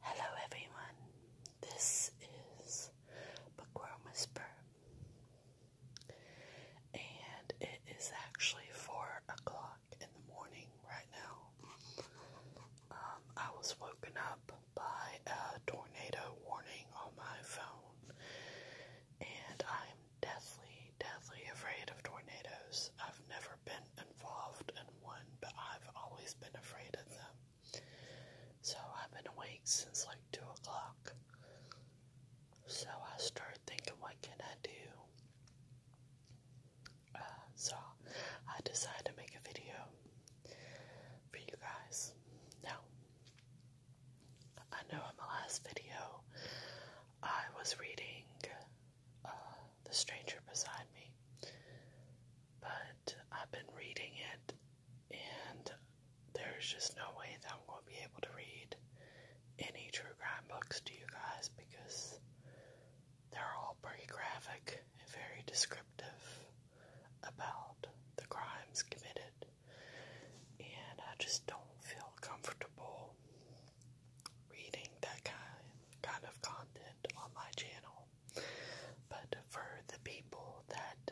Hello everyone, this is Bookworm Whisper, and it is actually 4 o'clock in the morning right now. Um, I was woken up by a tornado warning on my phone, and I'm deathly, deathly afraid of tornadoes. I've never never been involved in one, but I've always been afraid of them. So I've been awake since like 2 o'clock. So I started thinking, what can I do? Uh, so I decided to make a video for you guys. Now, I know in my last video I was reading uh, the stranger beside me. But I've been reading it, and there's just no way that I'm going to be able to read any true crime books to you guys because they're all pretty graphic and very descriptive about the crimes committed. And I just don't feel comfortable reading that kind kind of content on my channel. But for the people that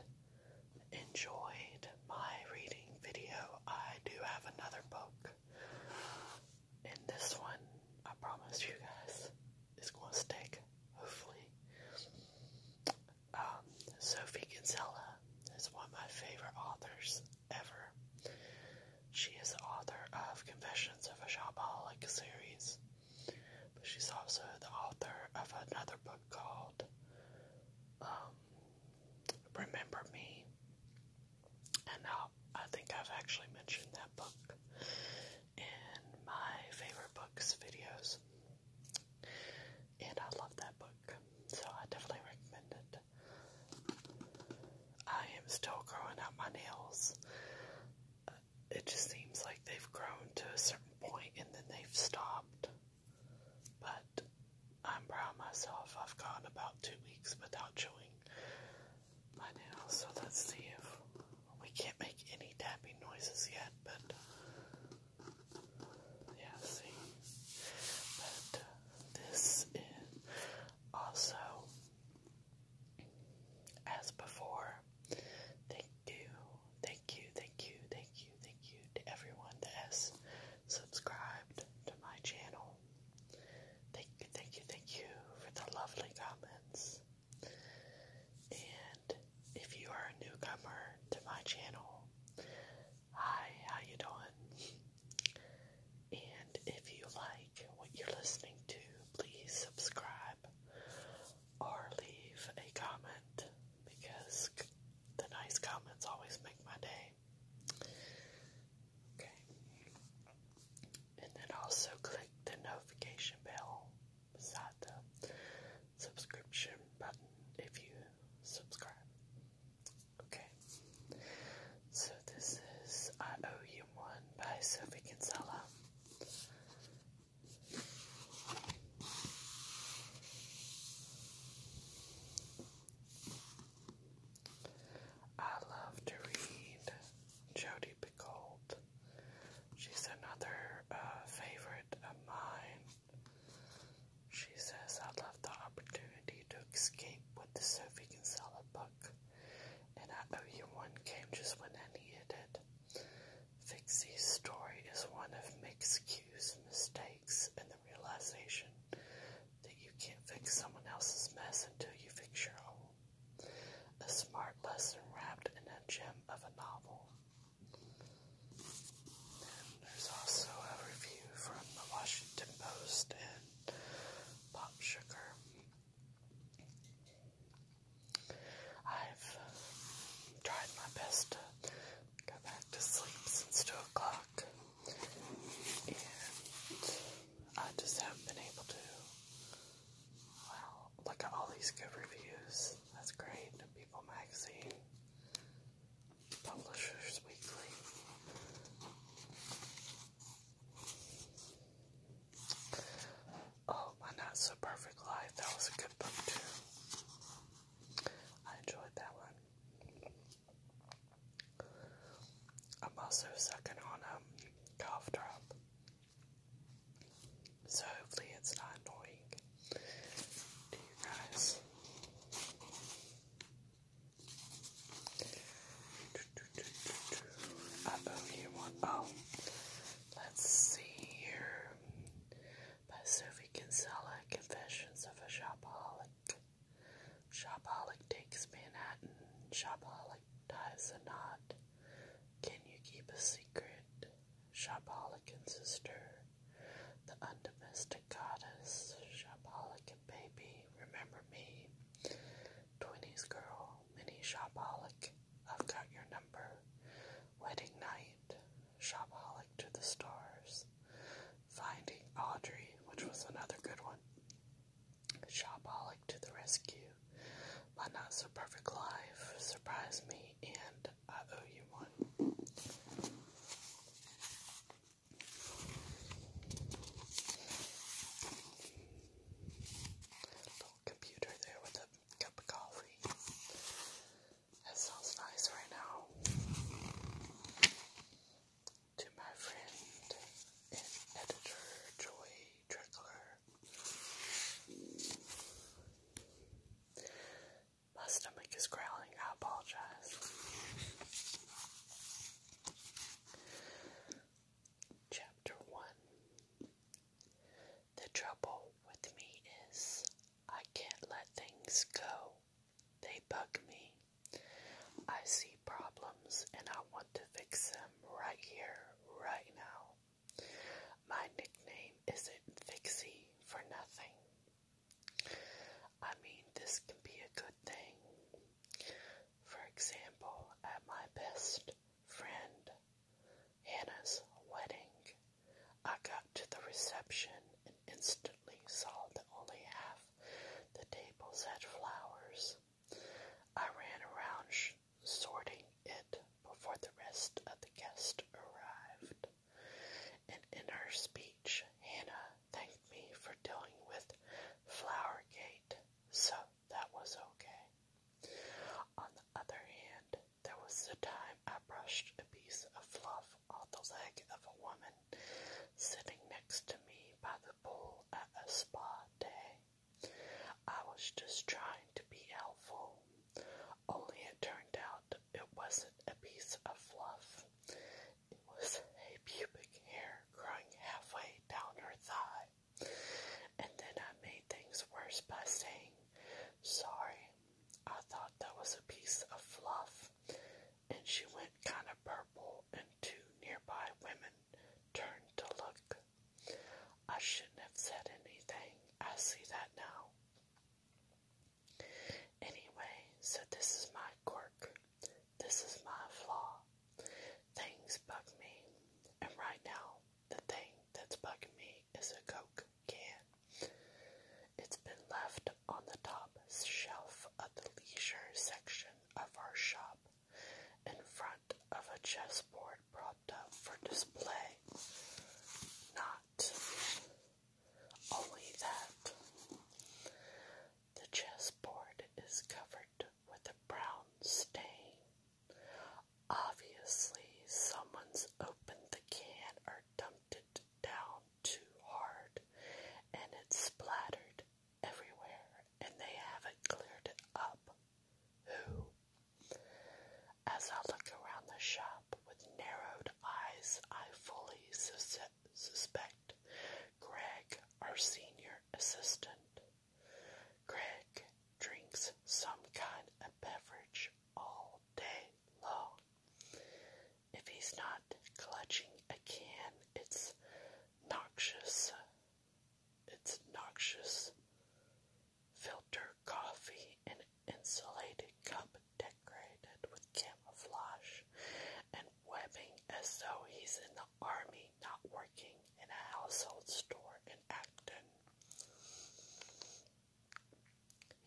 enjoyed my reading video, I do have another book. And this one, I promise you guys, is going to stick, hopefully. Um, Sophie Kinsella is one of my favorite authors ever. She is the author of Confessions of a Shopaholic series. But she's also the author of another book called um, Remember Me. And I think I've actually mentioned that book in my favorite books videos. And I love that book, so I definitely recommend it. I am still growing out my nails. Uh, it just seems like they've grown to a certain point and then they've stopped. But I'm proud of myself. I've gone about two weeks without chewing my nails, so let's see if we can't make any tapping noises yet, but yeah, see. But uh, this is also as before, thank you, thank you, thank you, thank you, thank you to everyone that subscribed to my channel. Thank you, thank you, thank you for the lovely comments. And if you are a newcomer to my channel, hi, how you doing? And if you like what you're listening to, please subscribe or leave a comment because the nice comments always make my day. Okay. And then also click the notification bell beside the subscription button if you subscribe. Okay. So this is I Owe You One by Sophie Kinsella. I love to read Jodi Picoult. She's another uh, favorite of mine. She says, I love the opportunity to escape with the Sophie Kinsella book and I owe you one came just when I needed it. Fixie's story is one of mixed cues, mistakes, and the realization that you can't fix someone else's mess until you fix your own. A smart lesson wrapped in a gem of a novel. there's also a review from the Washington Post and Pop I've um, tried my best to go back to sleep since 2 o'clock, and I just haven't been able to. Wow, look at all these good reviews. That's great. People Magazine, Publishers Weekly. Oh, my Not So Perfect Life. That was a good book, too. I enjoyed that one. I'm also sucking on a um, cough drop. So hopefully it's not annoying to you guys. I owe one. Oh. Let's see here. By Sophie Kinsella, Confessions of a Shopaholic. Shopaholic takes Manhattan. Shopaholic ties a knot. Can you keep a secret? Shopaholic and sister. The undomestic goddess. Shopaholic and baby. Remember me. Twenties girl mini shopaholic, I've got your number. Wedding night, shopaholic to the stars. Finding Audrey, which was another good one. Shopaholic to the rescue. My not so perfect life, surprise me, and I owe you one computer there with a cup of coffee. That sounds nice right now. To my friend and editor, Joy Trickler. My stomach is growling, I apologize. Chapter 1 the trouble with me is I can't let things go. They bug me. I see problems and I want to fix them right here, right now. My nickname isn't Fixie for nothing. I mean, this can be a good thing. For example, at my best friend Hannah's wedding. I got to the reception and instantly saw that only half the tables had flowers. I ran around sh sorting it before the rest of the guests arrived. And in her speech, Hannah thanked me for dealing with Flowergate so that was okay. On the other hand, there was the time I brushed a piece of fluff off the leg of a woman sitting next to me by the pool at a spa day. I was just trying to be helpful, only it turned out it wasn't a piece of fluff. It was a pubic hair growing halfway down her thigh. And then I made things worse by saying, Sorry, I thought that was a piece of fluff. And she went kind of purple, and two nearby women turned to look. I shouldn't have said anything. I see that now. Anyway, so this is my quirk. This is my flaw. Things bug me. And right now, the thing that's bugging me is a Coke can. It's been left on the top shelf of the leisure section of our shop in front of a chessboard propped up for display. Not only that, the chessboard is covered with a brown stain Obviously, someone's opened the can or dumped it down too hard and it's splattered everywhere and they haven't cleared it up. Who? As I look around the shop with narrowed eyes, I fully sus suspect Greg, our senior assistant. Greg drinks some kind of beverage all day long. If he's not clutching a can, it's noxious. It's noxious filter coffee in an insulated cup decorated with camouflage and webbing as though he's in the army not working in a household store in Acton.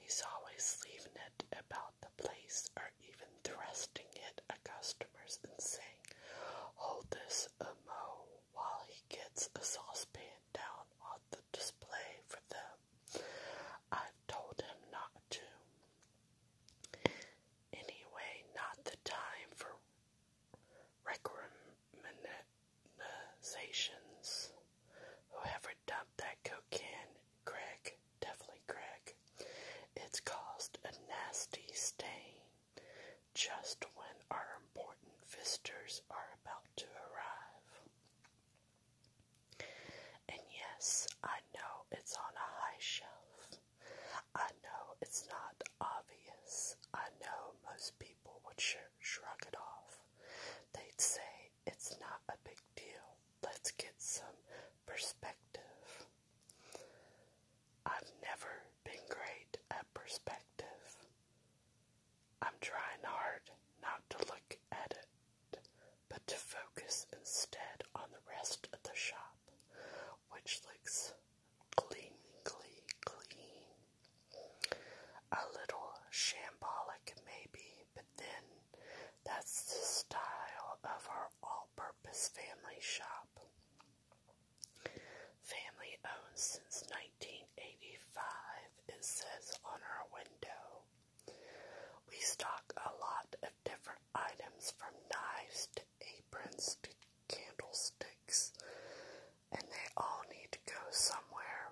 He's always leaving it about the place or even thrusting it at customers and saying, Hold this a mo while he gets a saucepan down on the display for them. I've told him not to. Anyway, not the time for recommendations. Whoever dumped that cocaine, Greg, definitely Greg, it's caused a nasty stain just when our important visitors are about to arrive. And yes, I know it's on a high shelf. I know it's not obvious. I know most people would show shrug it off. They'd say, It's not a big deal. Let's get some perspective. I've never been great at perspective. I'm trying hard not to look at it, but to focus instead on the rest of the shop, which looks clean, clean, clean. A little shambolic, maybe, but then that's the style of our all purpose family shop. Family owned since 1985, it says on our window. We stock a lot of different items from knives to aprons to candlesticks and they all need to go somewhere.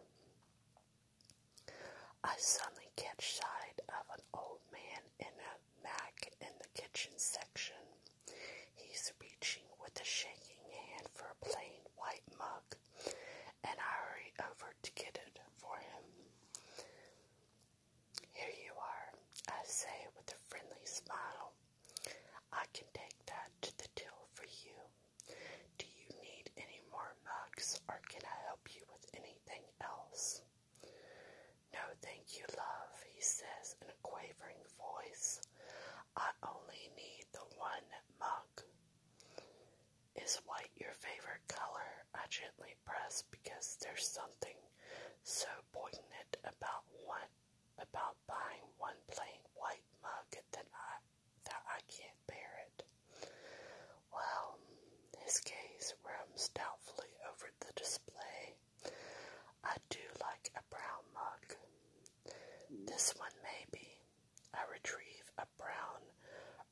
I suddenly catch sight of an old man in a mac in the kitchen section. He's reaching with a shaking hand for a plain white mug, and I hurry over to get it for him. Here you are, I say with a friendly smile. I can take that to the till for you do you need any more mugs or can I help you with anything else? No, thank you, love, he says in a quavering voice. I only need the one mug. Is white your favorite color? I gently press because there's something so poignant about one about buying one plain white mug that I that I can't bear it. Well, his gaze roams doubtfully over the display. I do like a brown mug. This one, maybe. I retrieve a brown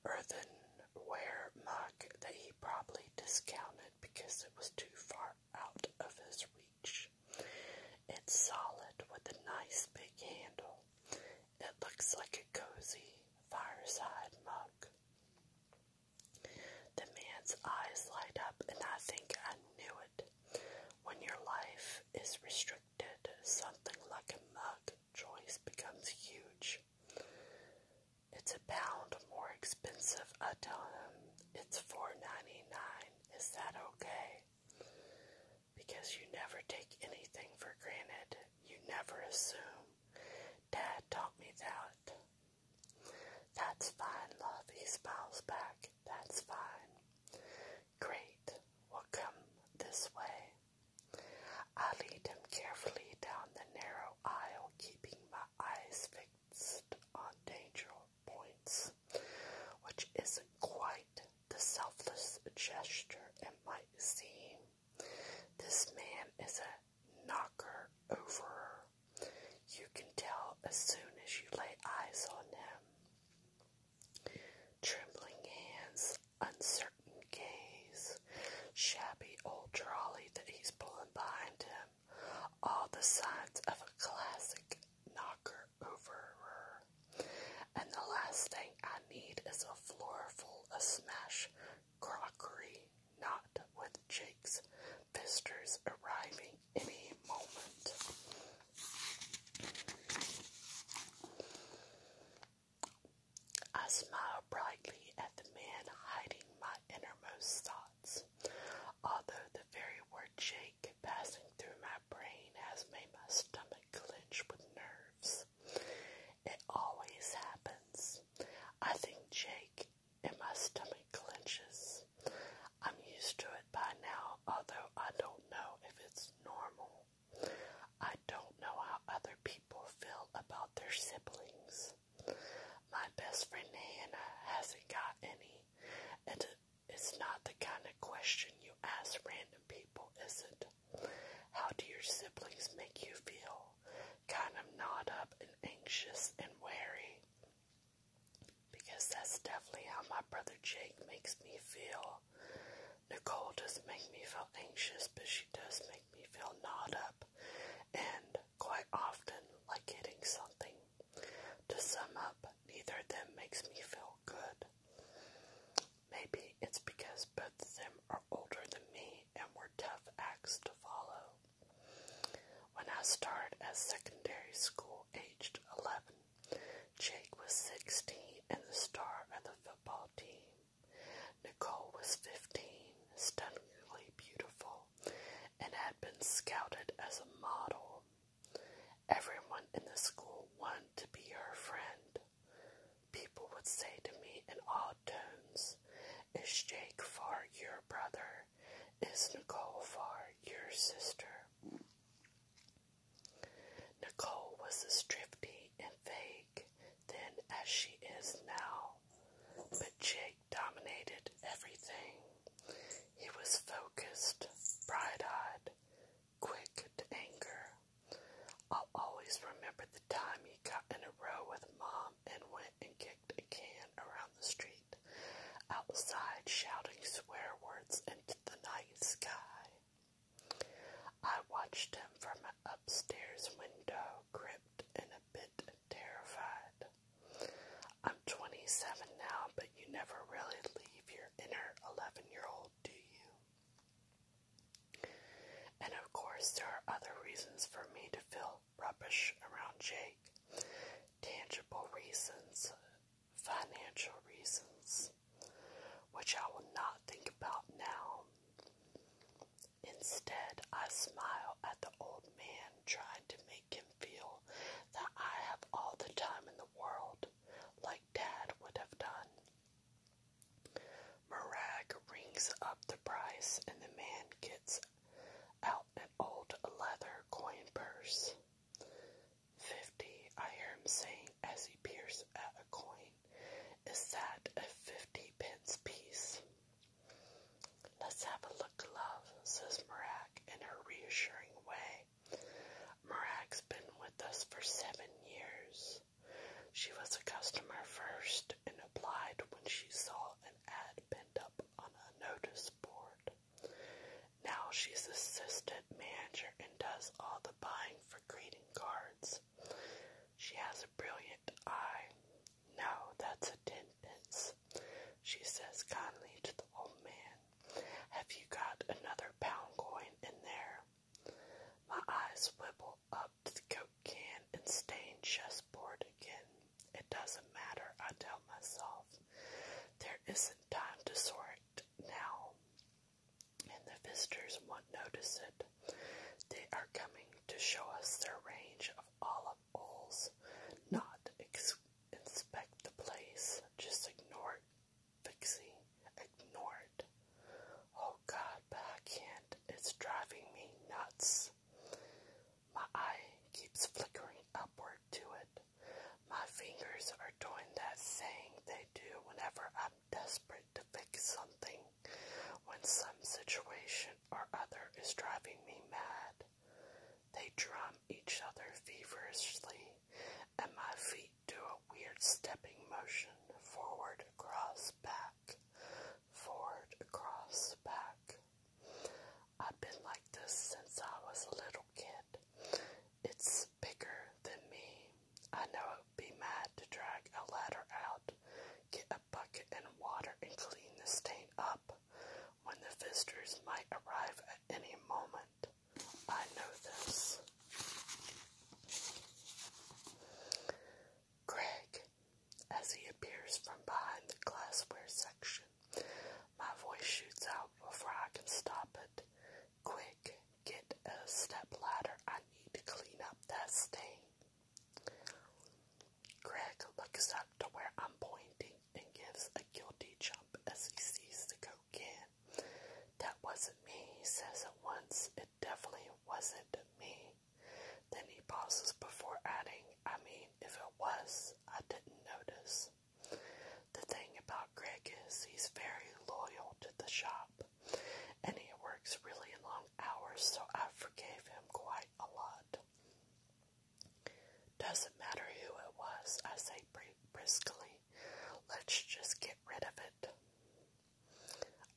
earthenware mug that he probably discounted because it was too far out of his reach. It's solid with a nice big handle. It looks like a cozy fireside mug. The man's eyes light up, and I think I knew it. When your life is restricted, something like a mug choice becomes huge. It's a pound more expensive. I tell him it's $4.99. Is that okay? because you never take anything for granted. You never assume. Dad taught me that. That's fine, love, he smiles back. That's fine. Great. We'll come this way. I lead him carefully down the narrow aisle, keeping my eyes fixed on danger points, which isn't quite the selfless gesture it might seem. This man is a knocker over. You can tell as soon as you lay eyes on him. Trembling hands, uncertain gaze, shabby old trolley that he's pulling behind him, all the signs of a classic knocker overer. And the last thing I need is a floor full of smash crockery, not with Jake's visitors arriving any moment. I smile brightly at the man hiding my innermost thoughts, although the very word Jake passing through my brain has made my stomach stomach with nerves. It always happens. I think Jake and my stomach clenches. I'm used to it by now, although I don't know if it's normal. I don't know how other people feel about their siblings. My best friend Hannah hasn't got any, and it's not the kind of question you ask random people, is it? How do your siblings make you feel? Kind of gnawed up and anxious and wary. Because that's definitely how my brother Jake makes me feel. Nicole doesn't make me feel anxious, but she does make me feel gnawed up and quite often like getting something. To sum up, neither of them makes me feel good. Maybe it's because both of them are older than me and were tough acts to follow. When I started at secondary school aged 11, Jake was 16 and the star of the football team. Nicole was 15, stunningly beautiful, and had been scouted as a model. Everyone in the school wanted to be her friend. People would say to me in odd tones, Is Jake far your brother? Is Nicole far your sister? Nicole was as drifty and vague then as she is now, but Jake dominated everything. He was focused, bright eyed, quick to anger. I'll always remember the time he got in a row with Mom and went and kicked a can around the street, outside shouting swear words into the night sky. I watched him from an upstairs window, gripped and a bit terrified. I'm 27 now, but you never really leave your inner 11 year old helpful you. And of course, there are other reasons for me to feel rubbish around Jake tangible reasons, financial reasons, which I will not think about now. Instead, I smile at the old man trying to make him feel that I have all the time in the world, like Dad would have done. Marag rings up the price, and the man gets out an old leather coin purse. Fifty, I hear him saying as he peers at a coin. Is that a fifty pence piece? Let's have a look, love, says Marag in her reassuring way. Marag's been with us for seven years. She was a customer first and applied when she saw an ad pinned up on a notice board. Now she's assistant manager and does all the buying for greeting cards. She has a brilliant eye. No, that's attendance, she says kindly to the old man. Have you got another pound coin in there? My eyes wibble up to the Coke can and stained chessboard again. It doesn't matter, I tell myself. There isn't time to sort it now. And the visitors won't notice it. They are coming to show us their range of olive oils, not inspect the place, just ignore it Fixie ignored. Oh God, but I can't. it's driving me nuts. My eye keeps flickering upward to it. My fingers are doing that thing they do whenever I'm desperate to fix something, when some situation or other is driving me mad. They drum each other feverishly, at my feet do a weird stepping motion forward, across, back, forward, across, back. I've been like this since I was a little kid. It's bigger than me. I know it would be mad to drag a ladder out, get a bucket and water, and clean the stain up when the visitors might arrive at any moment. I know this. Greg, as he appears from behind the glassware section, my voice shoots out before I can stop it. Quick, get a step ladder. I need to clean up that stain. Greg looks up to where I'm pointing and gives a guilty jump as he sees the go that wasn't me, he says at once. It definitely wasn't me. Then he pauses before adding, I mean, if it was, I didn't notice. The thing about Greg is he's very loyal to the shop and he works really long hours, so I forgave him quite a lot. Doesn't matter who it was, I say briskly. Let's just get rid of it.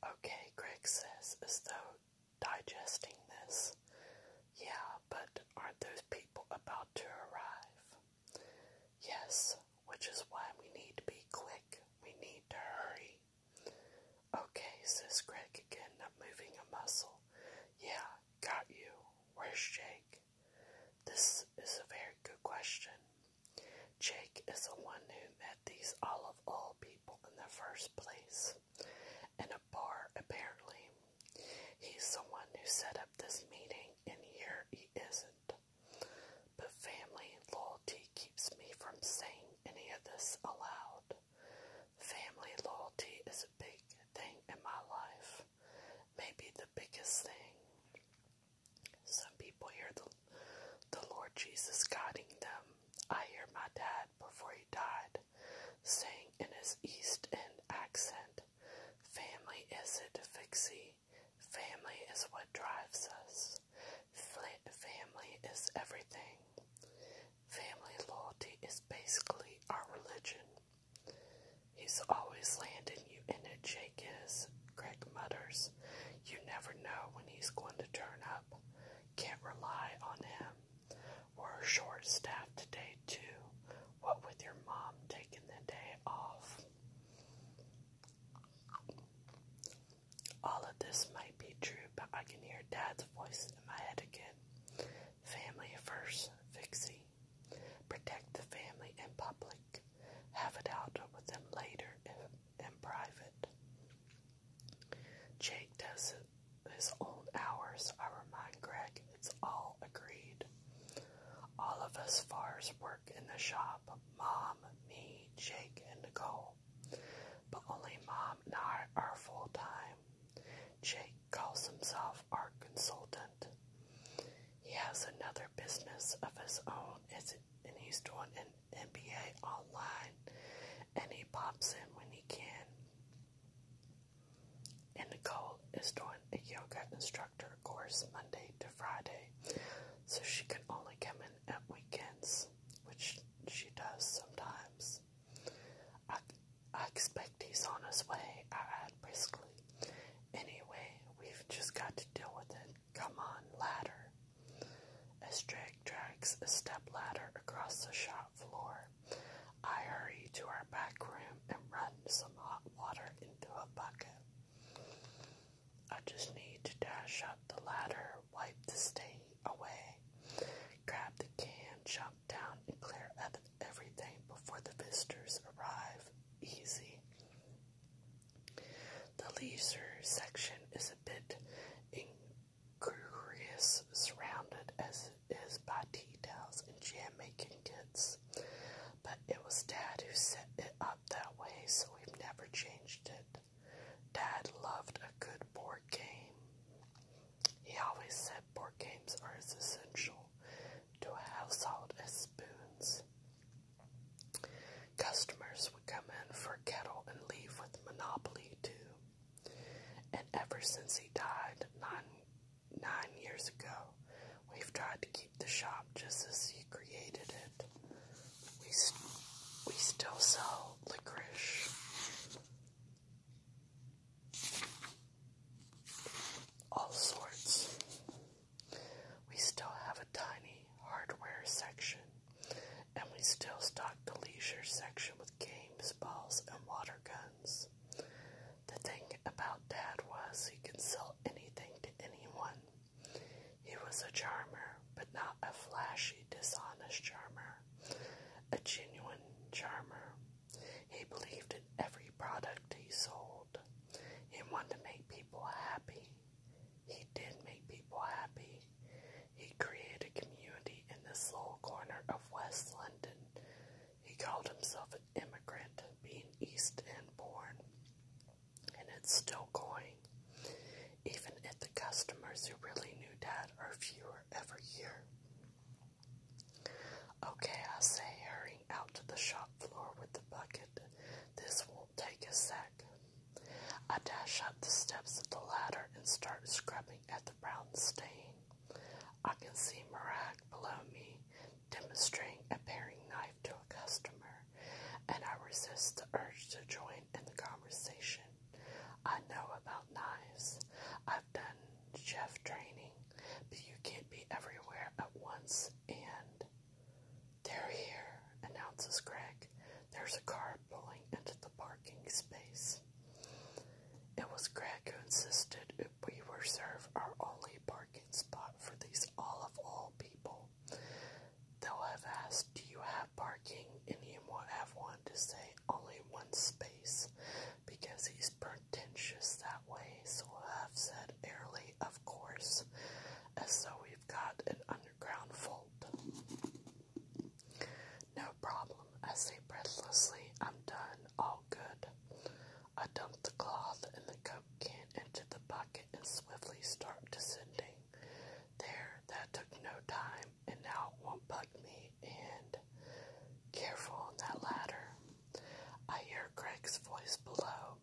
Okay, Greg says, as though digesting this. Yeah, but aren't those people about to arrive? Yes, which is why we need to be quick. We need to hurry. Okay, says Greg again, not moving a muscle. Yeah, got you. Where's Jake? This is a very good question. Jake is the one who met these olive oil people in the first place, in a bar apparently. He's the one who set up this meeting, and here he isn't. But family loyalty keeps me from saying any of this aloud. Family loyalty is a big thing in my life, maybe the biggest thing. Some people hear the, the Lord Jesus guiding them. I hear my dad before he died saying in his East End accent, Family isn't fixie. Family is what drives us. Family is everything. Family loyalty is basically our religion. He's always landing you in a Jake is, Greg mutters. You never know when he's going to turn up. Can't rely on him. We're short staffed today, too. What with your mom taking the day off? All of this might be true, but I can hear Dad's voice in my head again. Family first, Vixie. Protect the family in public have it out with them later in, in private. Jake does his own hours. I remind Greg it's all agreed. All of us fars work in the shop. Mom, me, Jake, and Nicole. But only Mom and I are full time. Jake calls himself our consultant. He has another business of his own as and he's doing an NBA online, and he pops in when he can. And Nicole is doing a yoga instructor course Monday to Friday, so she can only come in at weekends, which she does sometimes. I, I expect he's on his way, I add briskly. Anyway, we've just got to deal with it. Come on, ladder. As Drake drags a step ladder across the shop floor, I hurry to our back room and run some hot water into a bucket. I just need to dash up the ladder, wipe the stain away, grab the can, jump down, and clear up everything before the visitors arrive. Easy. The leisure section is a bit incurious, surrounded as it is by tea towels and jam-making kits. But it was Dad who set it up that way, so we've never changed it. Dad loved a good board game. He always said board games are as essential to a household as spoons. Customers would come in for kettle and leave with Monopoly too. And ever since he died nine nine years ago, we've tried to keep the shop just as he created it. We we still sell licorice. All sorts. We still have a tiny hardware section, and we still stock the leisure section with games, balls, and water guns. The thing about Dad was he could sell anything to anyone. He was a charmer, but not a flashy, dishonest charmer, a genuine charmer. He believed in every product he sold. He wanted to make people happy. He did make people happy. He created a community in this little corner of West London. He called himself an immigrant, being East End born, and it's still going. Even if the customers who really knew Dad are fewer every year. Okay, I say, hurrying out to the shop floor with the bucket. This won't take a sec. I dash up the steps of the ladder and start scrubbing at the brown stain. I can see Marak below me demonstrating a paring knife to a customer, and I resist the urge to join in the conversation. I know about knives. I've done chef training, but you can't be everywhere at once and they're here, announces Greg. There's a car pulling into the parking space. It was Greg who insisted if we reserve our only parking spot for these all of all people. They'll have asked, Do you have parking? And he will have wanted to say only one space because he's pretentious that way, so i have said airly, of course, as though we've got an underground vault. No problem, I say breathlessly. I'm done, all good. I dump the cloth and the coke can into the bucket and swiftly start descending. There, that took no time, and now it won't bug me. And careful on that ladder. I hear Greg's voice below,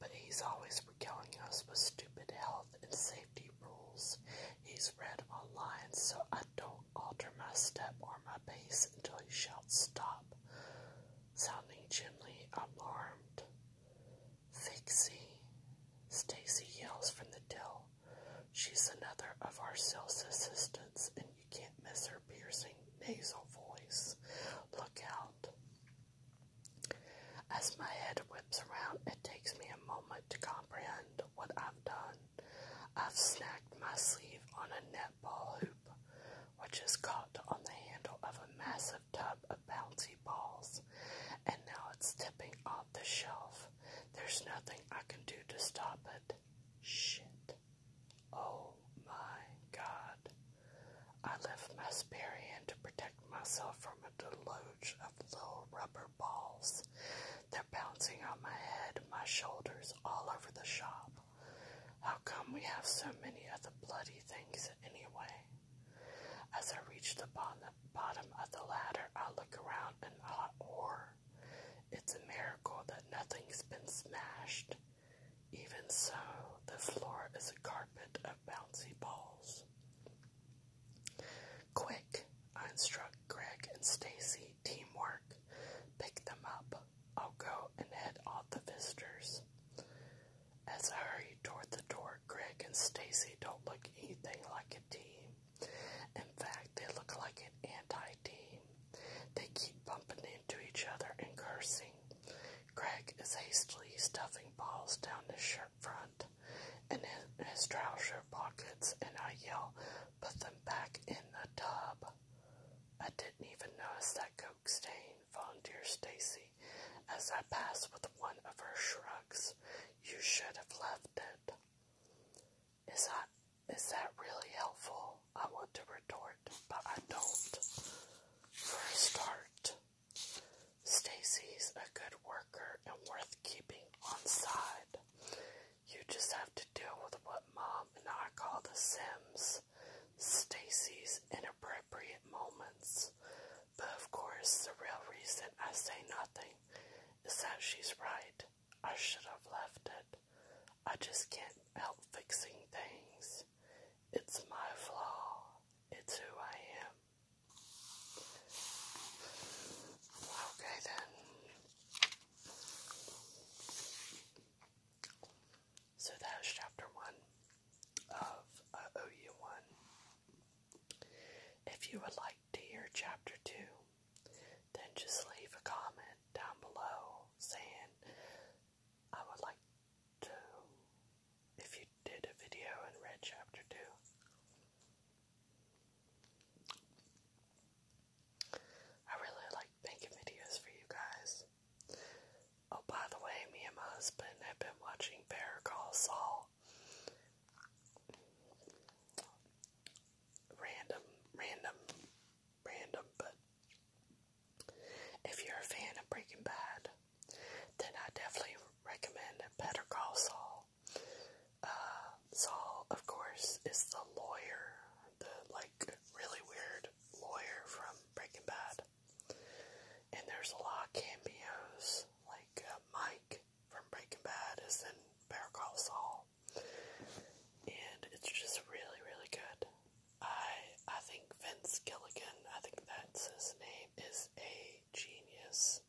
but he's always killing us with stupid health and safety rules he's read online, so I don't alter my step or my pace until he shouts stop. Sounding gently alarmed, Fixie, Stacy yells from the till. She's another of our sales assistants, and you can't miss her piercing nasal voice. Look out. As my head whips around, it takes me a moment to comprehend what I've done. I've snagged my sleeve on a netball hoop, which is caught on the handle of a massive tub of bouncy balls, and now it's tipping off the shelf. There's nothing I can do to stop it. Shit. Oh my god. I lift my spear hand to protect myself from a deluge of little rubber balls. They're bouncing on my head, my shoulders, all over the shop. How come we have so many other bloody things anyway? As I reach the bottom of the ladder, I look around in hot horror. It's a miracle that nothing's been smashed. Even so, the floor is a carpet of bouncy balls. Quick, I instruct Greg and Stacy teamwork. Pick them up. I'll go and head off the visitors. As I hurry toward the door, Greg and Stacy don't look anything like a team. In fact, they look like an anti-team. They keep bumping into each other and cursing. Greg is hastily stuffing balls down his shirt front and his trouser pockets, and I yell, Put them back in the tub. I didn't even notice that coke stain, volunteered Stacy, as I pass with one of her shrugs. You should have left it. Is that is that really helpful? I want to retort, but I don't. For a start, Stacy's a good worker and worth keeping on side. You just have to deal with what Mom and I call the Sims, Stacy's inappropriate moments. But of course, the real reason I say nothing is that she's right. I should have left it. I just can't help fixing things. It's my flaw. It's who I am. Okay, then. So that is chapter one of uh, OU one. If you would like to hear chapter two, then just leave a comment down below saying I would like two. If you did a video and read chapter two, I really like making videos for you guys. Oh, by the way, me and my husband have been watching Bear Call Saul. Random, random, random, but if you're a fan of Breaking Bad, then I definitely recommend Better Call Saul. Uh, Saul, of course, is the lawyer, the like really weird lawyer from Breaking Bad. And there's a lot of cameos, like uh, Mike from Breaking Bad is in Better Call Saul, and it's just really, really good. I I think. Vince Gilligan, I think that's his name, is a genius.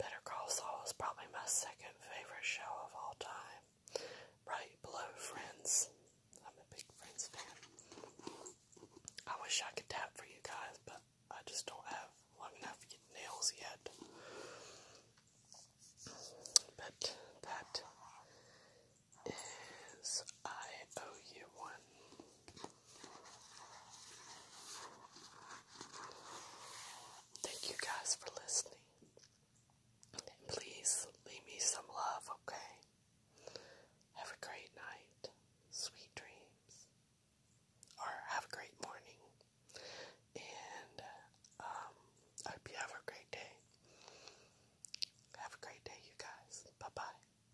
Better Call Saul is probably my second favorite show of all time. Right below Friends. I'm a big Friends fan. I wish I could tap for you guys, but I just don't have long enough nails yet. But that is I owe you one. Thank you guys for listening. please leave me some love, okay? Have a great night. Sweet dreams. Or have a great morning. And um, I hope you have a great day. Have a great day, you guys. Bye bye.